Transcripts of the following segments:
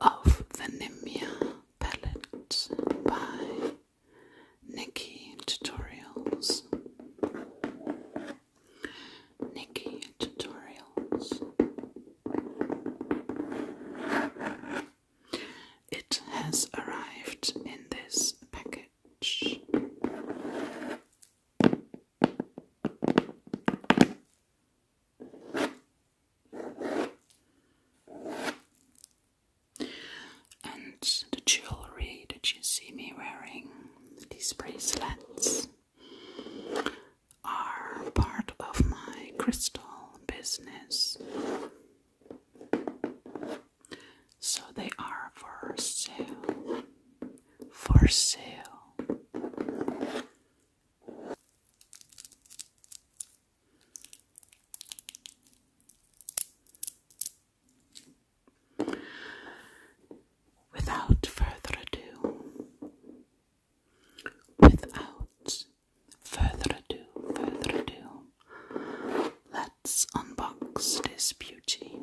of Venimia Pellet by Nikki Tutorials. Nikki Tutorials. It has arrived in this package. And the jewelry that you see me wearing, these bracelets, are part of my crystal business. So they are for sale. For sale. Without further ado, without further ado, further ado, let's unbox this beauty.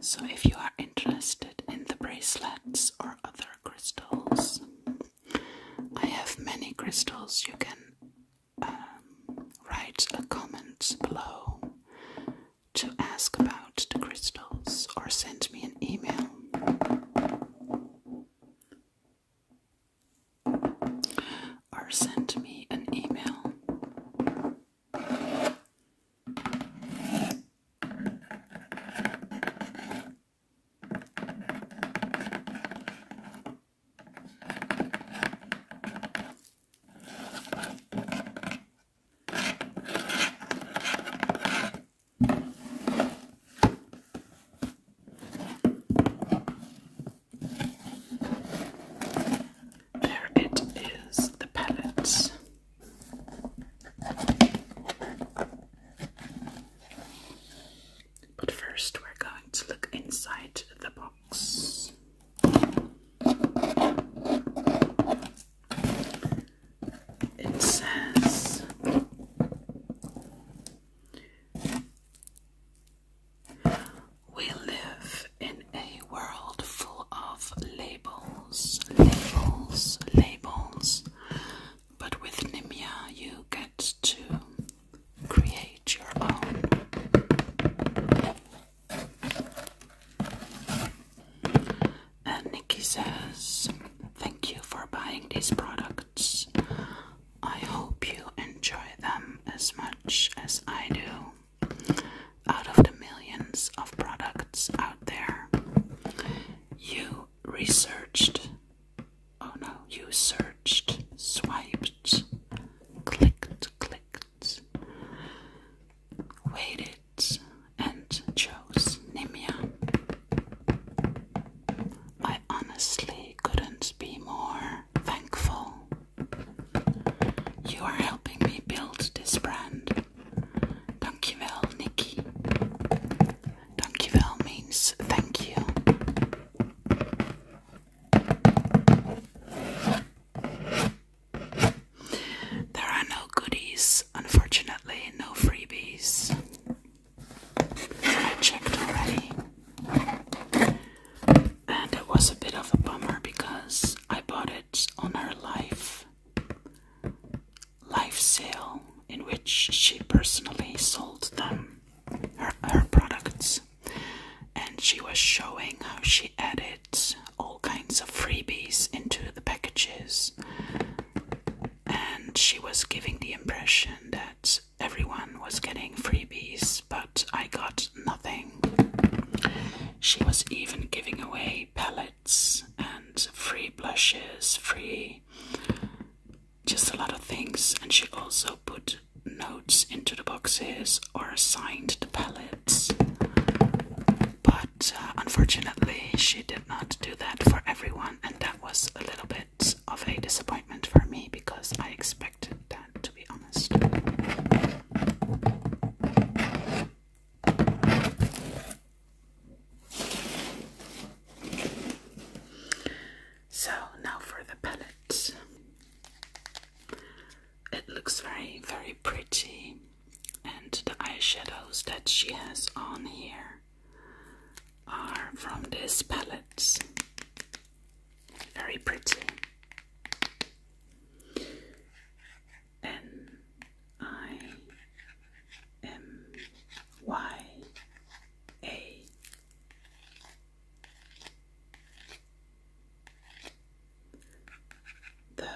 So, if you are interested in the bracelets or other crystals, I have many crystals you can um, write a comment below to ask about the crystals or send me an email. Or send me an email. There it is, the pellets. But first, we're going to look inside the box. It says we live in a world full of labels, labels, labels. But with Nimia, you get to create your own. And Nikki says, Thank you for buying these products. I hope you enjoy them as much as I do. Out of the millions of products out there, you researched Oh no, you searched, swiped, clicked, clicked, waited, and chose Nimia. I honestly couldn't be more thankful. You are helping me build this brand. Dankjewel, Nikki. Dankjewel means thank you. There are no goodies, unfortunately, no freebies. I checked already. And it was a bit of a bummer because I bought it on her life life sale in which she personally sold them her, products and she was showing how she added all kinds of freebies into the packages and she was giving the impression that everyone was getting freebies but I got nothing. She was even giving away palettes and free blushes, free just a lot of things and she also put notes into the boxes or assigned the pellets, But uh, unfortunately, she did not do that for everyone, and that was a little bit of a disappointment for me because I expected that to be honest. So now for the palette. It looks very, very pretty, and the eyeshadows that she has on here are from this palette. Very pretty. N I M Y A the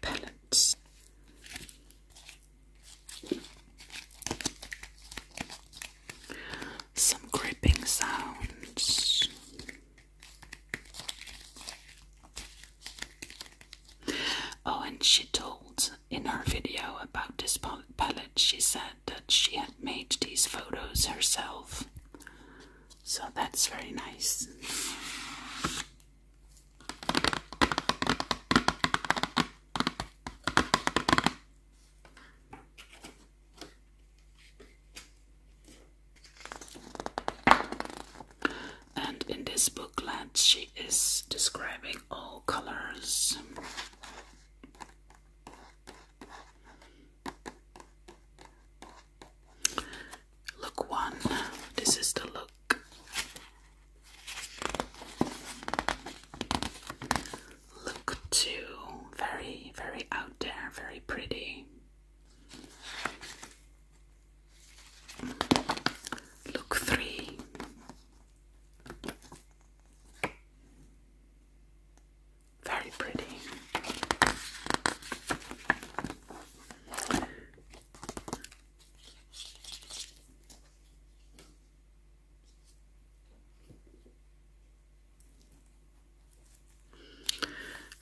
pellets. Some gripping sounds. Oh, and she told in her video about this palette, she said that she had made these photos herself. So that's very nice. And in this booklet, she is describing all colors. Look one, this is the look. Look two, very, very out there, very pretty. Look three. Very pretty.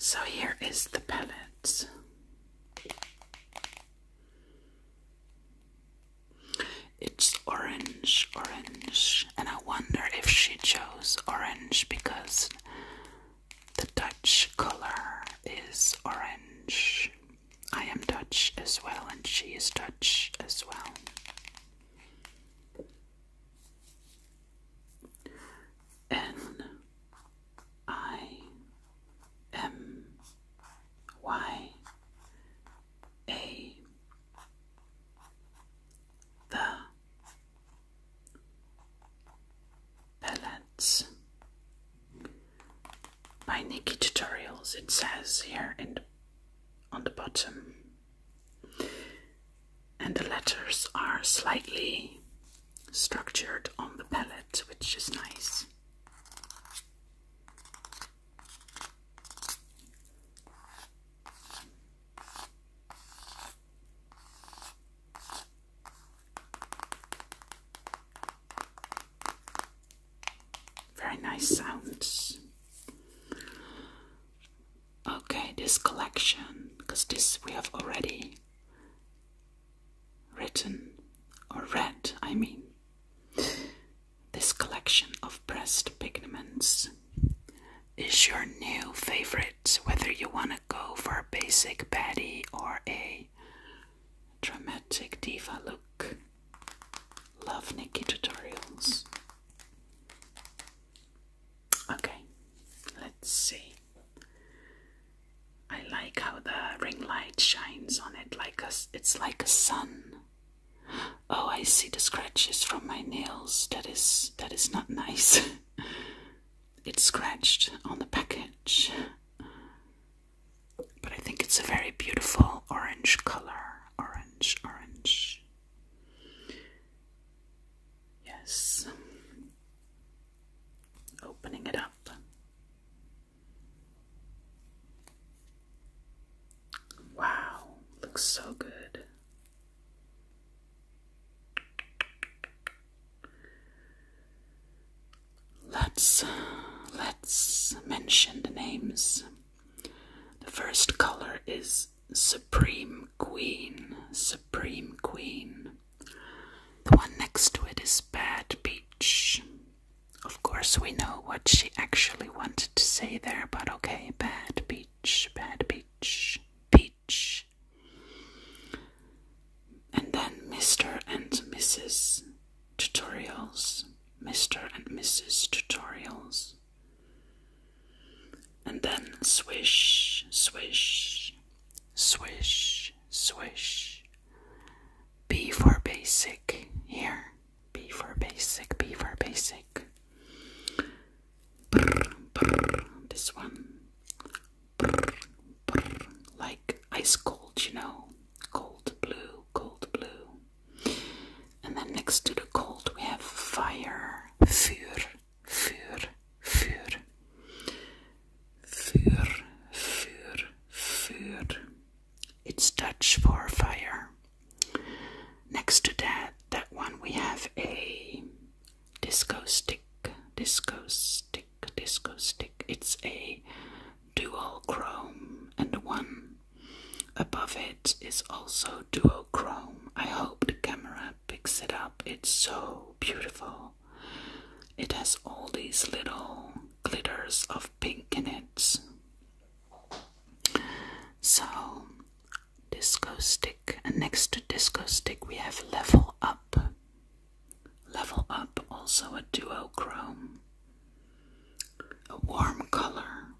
So here is the pellets. It's orange, orange, and I wonder if she chose orange because the Dutch color is orange. I am Dutch as well, and she is Dutch as well. N I M Y a the pellets by Nikki Tutorials. It says here in on the bottom, and the letters are slightly structured on the palette, which is nice. Very nice sounds. Okay, this collection, because this we have already written or read, I mean. This collection of pressed pigments is your new favorite, whether you want to go for a basic Betty or a dramatic diva look. Love Nikki tutorials. Okay, let's see. I like how the ring light shines on it like a, it's like a sun. Oh, I see the scratches from my nails. That is that is not nice. it's scratched on the package. But I think it's a very beautiful orange color. Orange, orange. Yes. Opening it up. Wow, looks so good. Let's uh, let's mention the names. The first color is Supreme Queen, Supreme Queen. The one next to it is Bad Beach, of course, we know what she actually wanted to say there, but okay, bad beach, bad beach, beach. And then Mr. and Mrs. Tutorials, Mr. and Mrs. Tutorials. And then swish, swish, swish, swish. B for basic here. B for basic, B for basic. this one. like ice cold, you know. Cold blue, cold blue. And then next to the cold we have fire. Vuur, vuur, vuur. Vuur, vuur, vuur. It's Dutch for fire. Next to that, that one we have a disco stick, disco stick, disco stick. It's a dual chrome, and one above it is also duochrome. I hope the camera picks it up. It's so beautiful. It has all these little glitters of pink in it. So, disco stick, and next to disco stick, we have level up. Level up, also a duochrome, a warm color,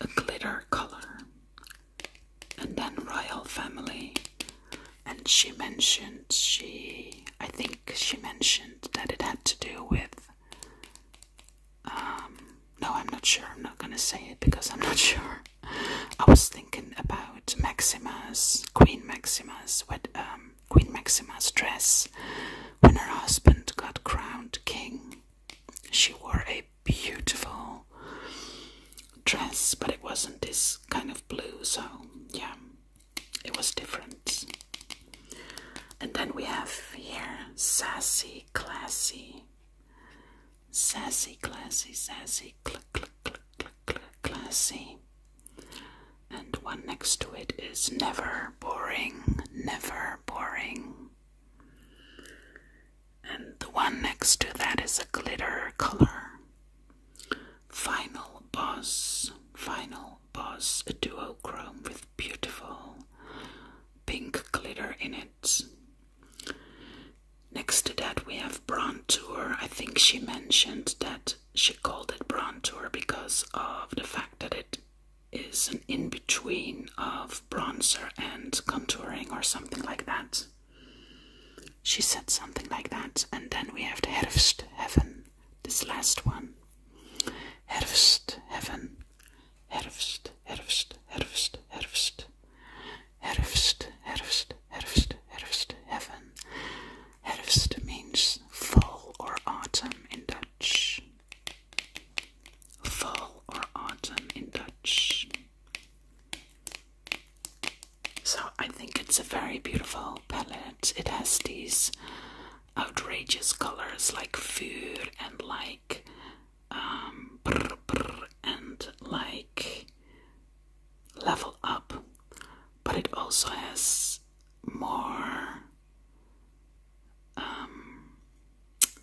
a glitter color, and then Royal Family. And she mentioned, she, I think she mentioned that it had to do with um, no, I'm not sure. I'm not gonna say it because I'm not sure. I was thinking about Maximus, Queen Maximus, what um, Queen Maximus dress when her husband got crowned king. She wore a beautiful dress, but it wasn't this kind of blue. So yeah, it was different. And then we have here sassy, classy, sassy, classy, sassy, cl classy. And one next to it is never boring, never boring. And the one next to that is a glitter color. Final boss, final was a duochrome with beautiful pink glitter in it. Next to that, we have bronzer. I think she mentioned that she called it bronzer because of the fact that it is an in between of bronzer and contouring or something like that. She said something like that, and then we have the Herfst Heaven this last one. Herfst, heaven. Herfst, herfst, herfst, herfst. Herfst, herfst, herfst, herfst, heaven. Herfst means fall or autumn in Dutch. Fall or autumn in Dutch. So I think it's a very beautiful palette. It has these outrageous colors like fur and like um, and like level up, but it also has more. Um,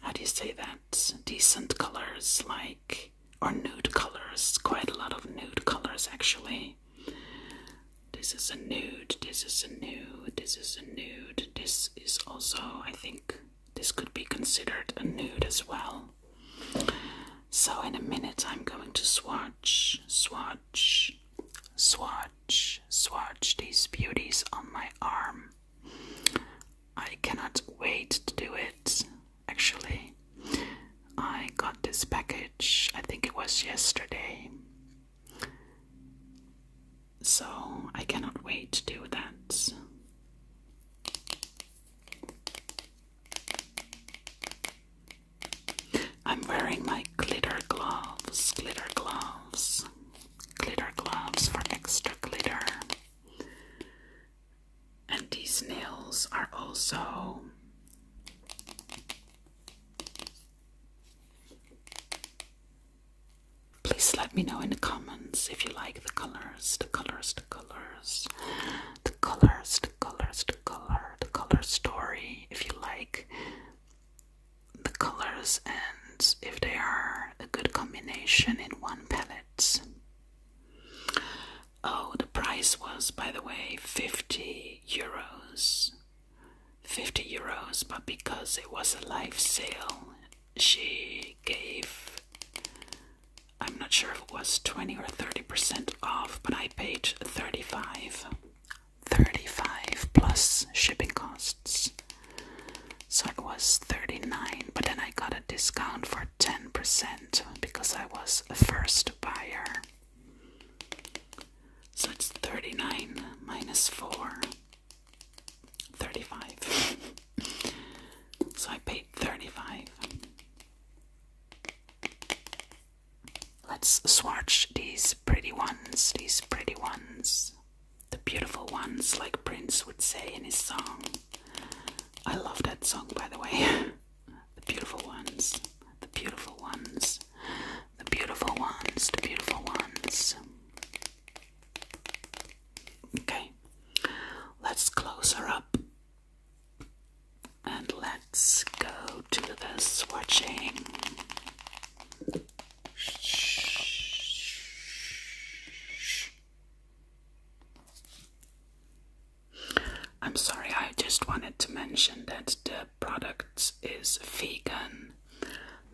how do you say that? Decent colors like or nude colors, quite a lot of nude colors actually. This is a nude, this is a nude, this is a nude, this is also, I think, this could be considered a nude as well. So, in a minute, I'm going to swatch, swatch, swatch, swatch these beauties on my arm. I cannot wait to do it, actually. I got this package, I think it was yesterday, so I cannot wait to do that. I'm wearing my glitter gloves, glitter gloves, glitter gloves for extra glitter. And these nails are also Please let me know in the comments if you like the colors, the colors, the colors, the colors, the colors, the color, the color story, if you like the colors and if they are a good combination in one palette. Oh, the price was, by the way, 50 euros. 50 euros, but because it was a live sale, she gave I'm not sure if it was 20 or 30% off, but I paid 35. 35 plus shipping costs. So it was 39, but then I got a discount for 10% because I was a first buyer. So it's 39 minus 4. 35. so I paid 35. Let's swatch these pretty ones, these pretty ones. The beautiful ones, like Prince would say in his song. I love that song, by the way. the beautiful ones, the beautiful ones. The beautiful ones, the beautiful ones. Okay, let's close her up and let's go to the swatching. I'm sorry, I just wanted to mention that products is vegan,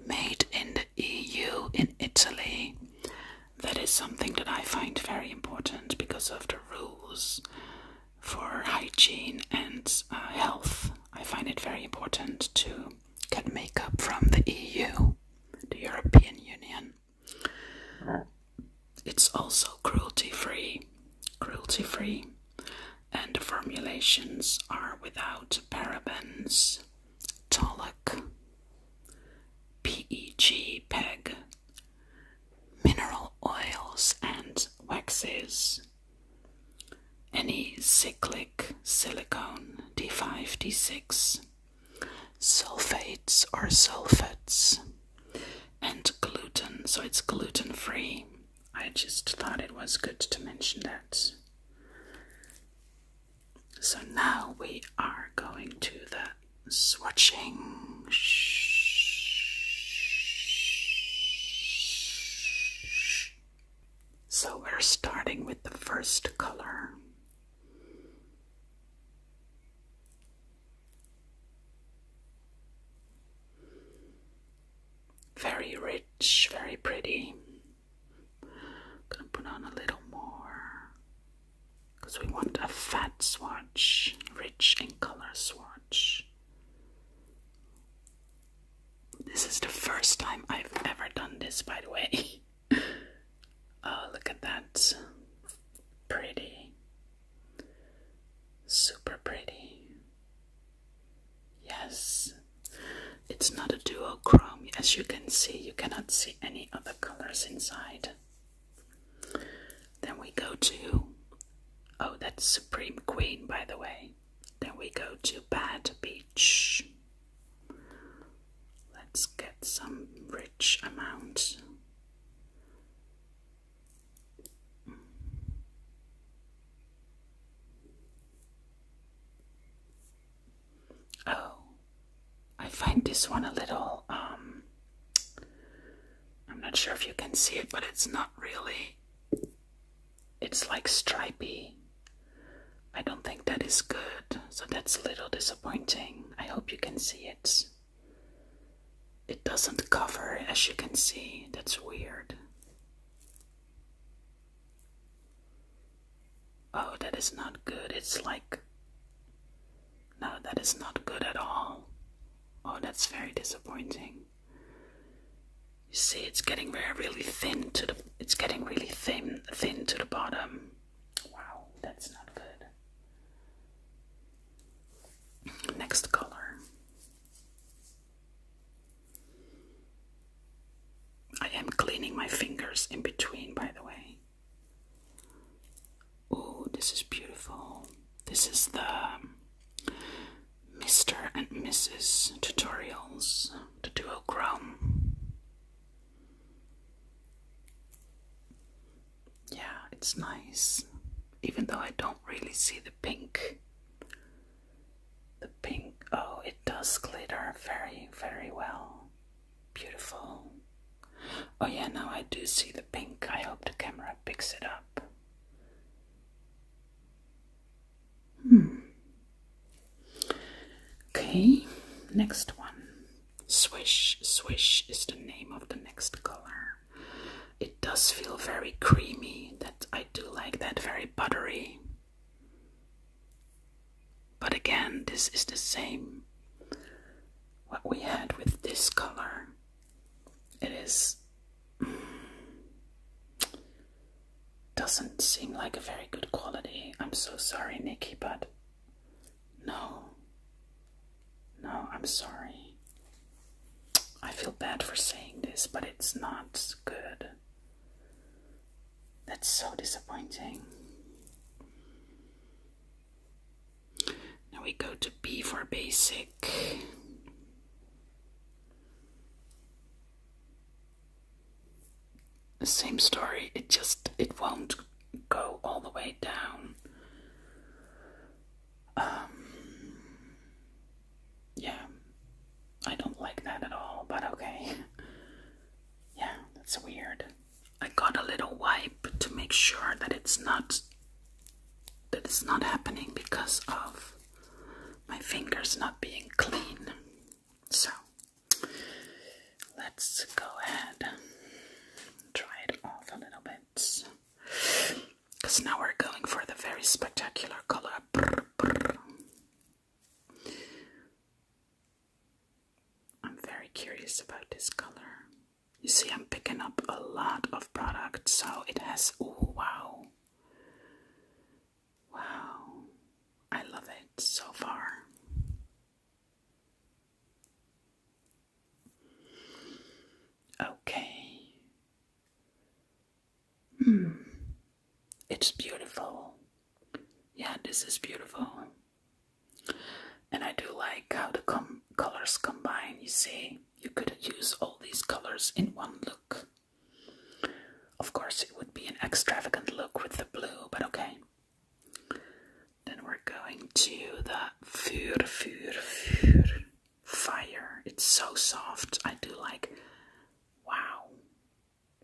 made in the EU in Italy. That is something that I find very important because of the rules for hygiene and uh, health. I find it very important to get makeup from the EU, the European Union. It's also cruelty free. Cruelty free and the formulations are without parabens, talc, PEG, PEG, mineral oils and waxes, any cyclic silicone D5, D6, sulfates or sulfates, and gluten, so it's gluten free. I just thought it was good to mention that. So now we are going to the swatching. So we're starting with the first color. Very rich, very pretty. gonna put on a little more because we want a fat swatch, rich in color swatch. This is the first time I've ever done this, by the way. oh, look at that. Pretty. Super pretty. Yes, it's not a duochrome. As you can see, you cannot see any other colors inside. Then we go to, oh, that's Supreme Queen, by the way. Then we go to Bad Beach. Let's get some rich amount. Oh, I find this one a little, um, I'm not sure if you can see it, but it's not really, it's like stripy. I don't think that is good, so that's a little disappointing. I hope you can see it. It doesn't cover, as you can see, that's weird. Oh, that is not good. It's like. No, that is not good at all. Oh, that's very disappointing. You see, it's getting really thin to the. It's getting really thin, thin to the bottom. Wow, that's not good. Next color. I am cleaning my fingers in between, by the way. Oh, this is beautiful. This is the Mr. Um, and Mrs. Tutorials, the duochrome. Yeah, it's nice, even though I don't really see the pink. The pink, oh, it does glitter very, very well. Beautiful. Oh, yeah, now I do see the pink. I hope the camera picks it up. Hmm. Okay, next one. Swish, swish is the name of the next color. It does feel very creamy. That I do like that, very buttery. But again, this is the same what we had with this color. It is mm, doesn't seem like a very good quality. I'm so sorry, Nikki, but no. No, I'm sorry. I feel bad for saying this, but it's not good. That's so disappointing. Now we go to B for basic. The same story, it just it won't go all the way down. Um, yeah, I don't like that at all, but okay. yeah, that's weird. I got a little wipe to make sure that it's not that it's not happening because of my fingers not being clean. So let's go ahead and try it off a little bit. Because now we're going for the very spectacular color. I'm very curious about this color. You see, I'm picking up a lot of product, so it has. Oh, wow. Wow. I love it so far. Okay. Mm. It's beautiful. Yeah, this is beautiful. And I do like how the colors combine, you see. You could use all these colors in one look. Of course, it would be an extravagant look with the blue, but okay. Then we're going to the fur, fur, fur fire. It's so soft. I do like, wow,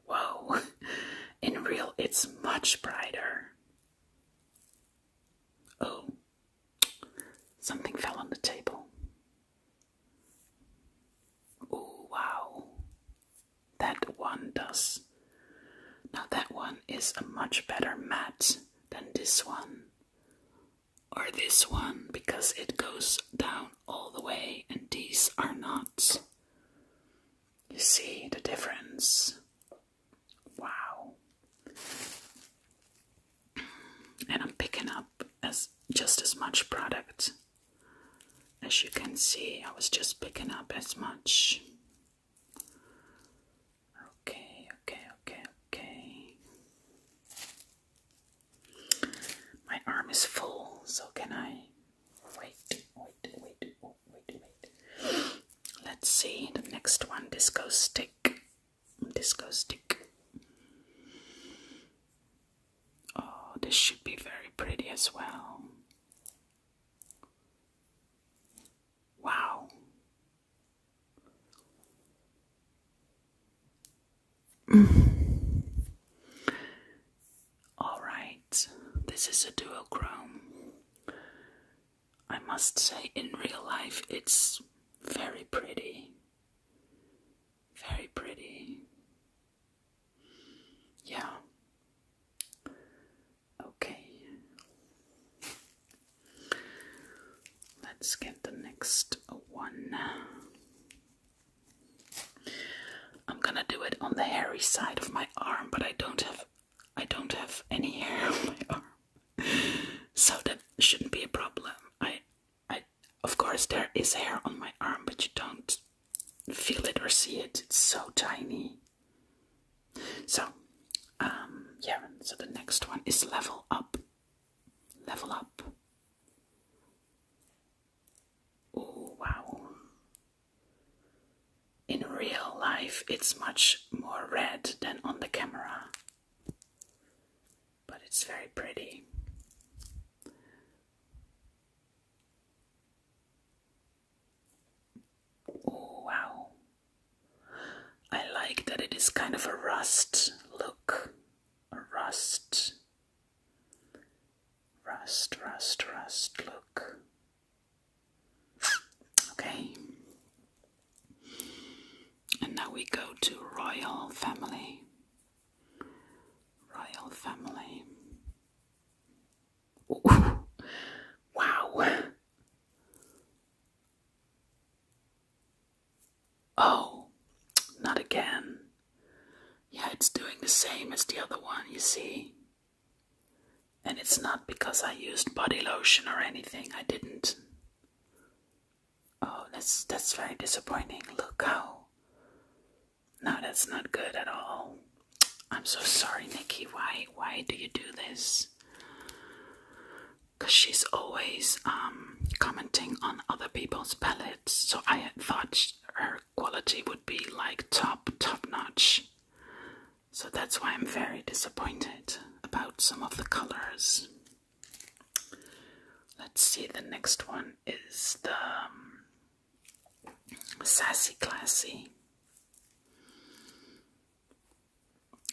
whoa. In real, it's much brighter. Oh, something fell on the table. Oh, wow. That one does. Now, that one is a much better mat than this one or this one because it goes down all the way and these are not. You see the difference? Wow. And I'm picking up as just as much product. As you can see, I was just picking up as much. Okay, okay, okay, okay. My arm is full, so can I? Wait, wait, wait, wait, wait. Let's see the next one disco stick. Disco stick. Oh, this should be very pretty as well. Wow. Alright, this is a duochrome. I must say, in real life, it's very pretty. Very pretty. Yeah. Okay. Let's get the next one. I'm gonna do it on the hairy side of my arm, but I don't have I don't have any hair on my arm. So that shouldn't be a problem. I I of course there is hair on my arm, but you don't feel it or see it. It's so tiny. So um yeah, so the next one is level up. Level up. Oh, wow. In real life, it's much more red than on the camera, but it's very pretty. Oh, wow. I like that it is kind of a rust look, a rust Rust, rust, rust, look. Okay. And now we go to royal family. Royal family. Wow. Oh, not again. Yeah, it's doing the same as the other one, you see. And it's not because I used body lotion or anything, I didn't. Oh, that's that's very disappointing. Look how No, that's not good at all. I'm so sorry, Nikki. Why why do you do this? Cause she's always um commenting on other people's palettes, so I thought her quality would be like top, top notch. So that's why I'm very disappointed about some of the colors. Let's see, the next one is the um, Sassy Classy.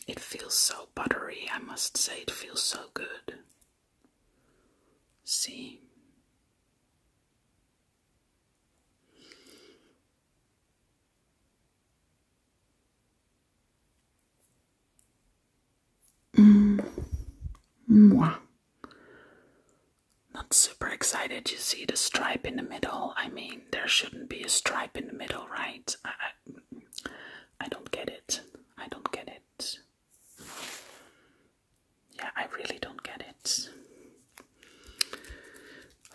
It feels so buttery, I must say, it feels so good. See. Mm. Mwah. Not super excited. You see the stripe in the middle. I mean, there shouldn't be a stripe in the middle, right? I, I, I don't get it. I don't get it. Yeah, I really don't get it.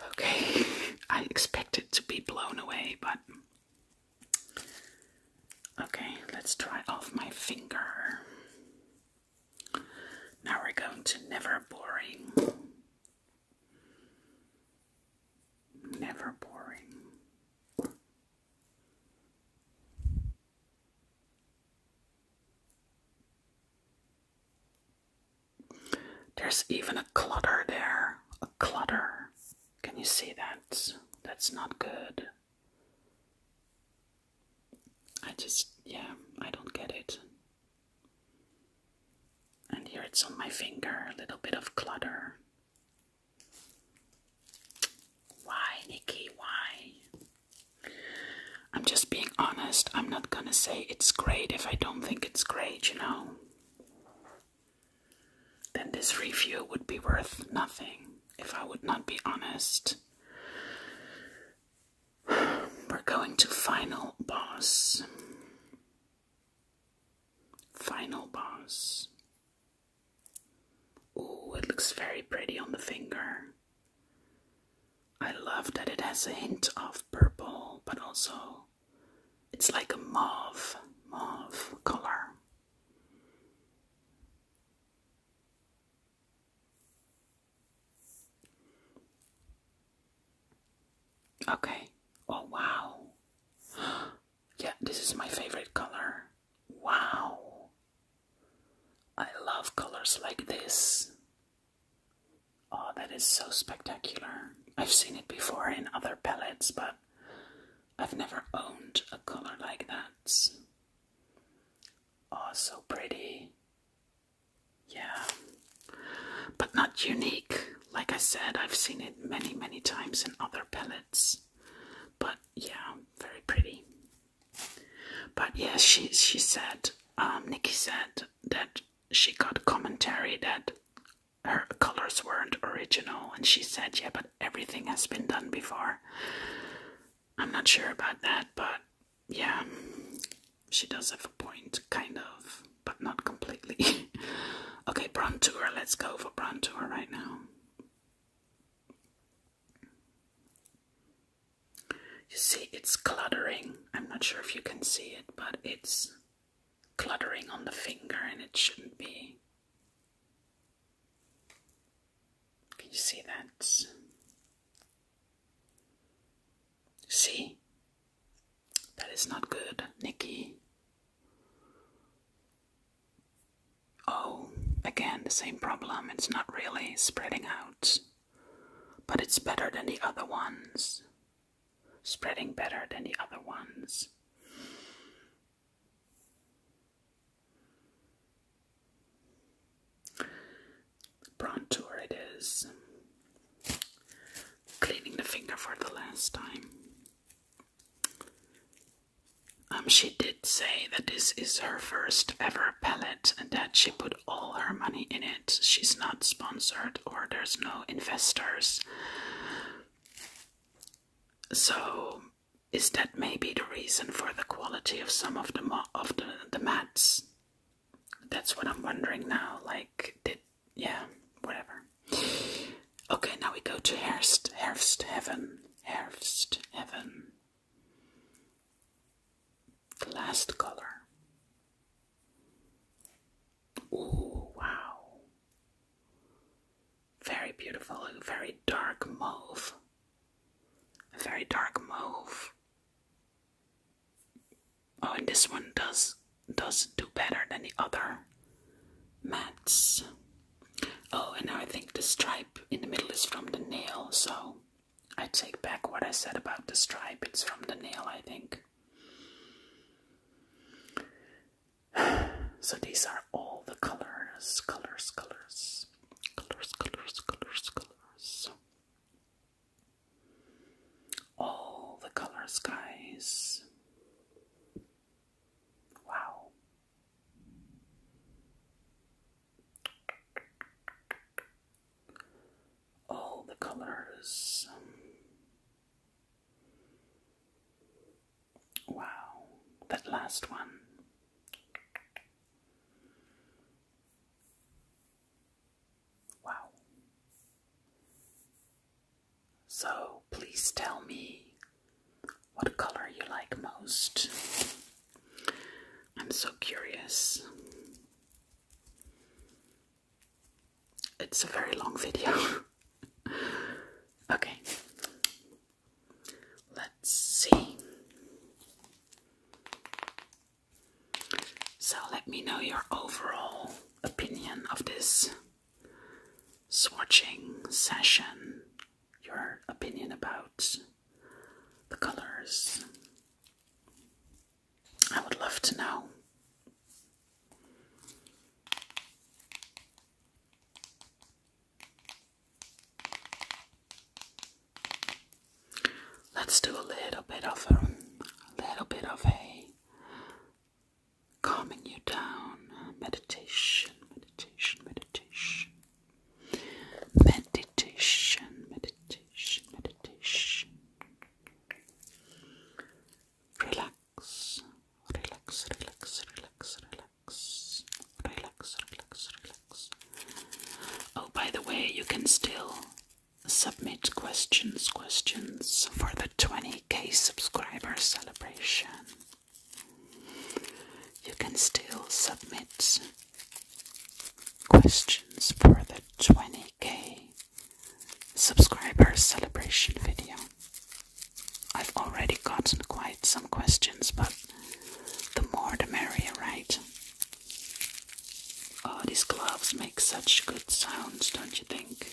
Okay, I expected to be blown away, but. Okay, let's try off my finger. Now we're going to never boring. Never boring. There's even a clutter there. A clutter. Can you see that? That's not good. I just, yeah, I don't get it. And here it's on my finger, a little bit of clutter. Why, Nikki? Why? I'm just being honest. I'm not gonna say it's great if I don't think it's great, you know? Then this review would be worth nothing if I would not be honest. We're going to Final Boss. Final Boss. Ooh, it looks very pretty on the finger. I love that it has a hint of purple, but also it's like a mauve, mauve color. Okay. Oh, wow. yeah, this is my favorite color. Wow. I love colors like this. Oh, that is so spectacular. I've seen it before in other pellets, but I've never owned a color like that. Oh, so pretty. Yeah. But not unique. Like I said, I've seen it many, many times in other pellets, But yeah, very pretty. But yeah, she she said, um, Nikki said that she got commentary that her colors weren't original, and she said, yeah, but everything has been done before. I'm not sure about that, but yeah, she does have a point, kind of, but not completely. okay, Brontour, let's go for Brontour right now. You see, it's cluttering. I'm not sure if you can see it, but it's cluttering on the finger and it shouldn't be. Can you see that? See? That is not good, Nikki. Oh, again, the same problem. It's not really spreading out, but it's better than the other ones. Spreading better than the other ones. Brontour it is. Cleaning the finger for the last time. Um, she did say that this is her first ever pellet, and that she put all her money in it. She's not sponsored or there's no investors. So, is that maybe the reason for the quality of some of the of the, the mats? That's what I'm wondering now. Like, did yeah, whatever. Okay, now we go to Herst, Herfst Heaven. Herfst Heaven. The last color. Ooh, wow. Very beautiful, a very dark mauve. very dark mauve. Oh, and this one does does do better than the other mats. Oh, and now I think the stripe in the middle is from the nail, so I take back what I said about the stripe. It's from the nail, I think. So these are all the colors, colors, colors, colors, colors, colors, colors. All the colors, guys. Wow. Oh, the color um, wow, that last one. Wow. So, please tell me what color you like most. I'm so curious. It's a very long video. okay, let's see. So, let me know your overall opinion of this swatching session your opinion about the colors. I would love to know. Let's do a little bit of a, little bit of a calming you down meditation, meditation, meditation meditation, meditation, meditation, meditation. Relax, relax, relax, relax, relax, relax, relax, relax. Oh, by the way, you can still submit questions, questions for the 20k subscriber celebration. You can still submit questions for the 20k subscriber celebration video. I've already gotten quite some questions, but the more the merrier, right? Oh, these gloves make such good sounds, don't you think?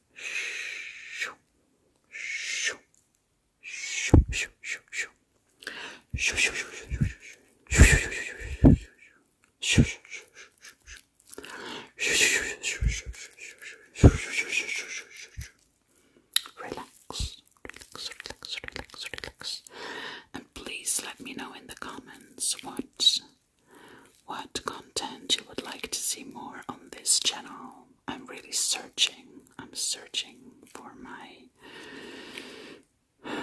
Relax, relax, relax, relax, relax. And please let me know in the comments what what content you would like to see more on this channel. I'm really searching. I'm searching for my.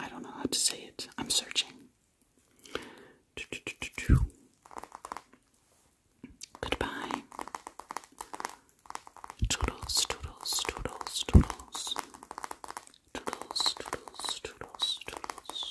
I don't know how to say it. I'm searching. Goodbye. Toodles, toodles, toodles, toodles. Toodles, toodles, toodles, toodles.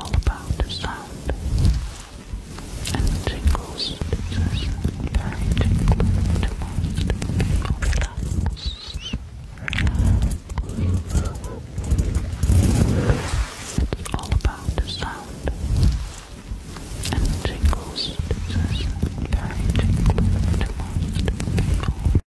all about the sound and the tingles. This very tingling to most people. It's all about the sound and the tingles. This very tingling to most people.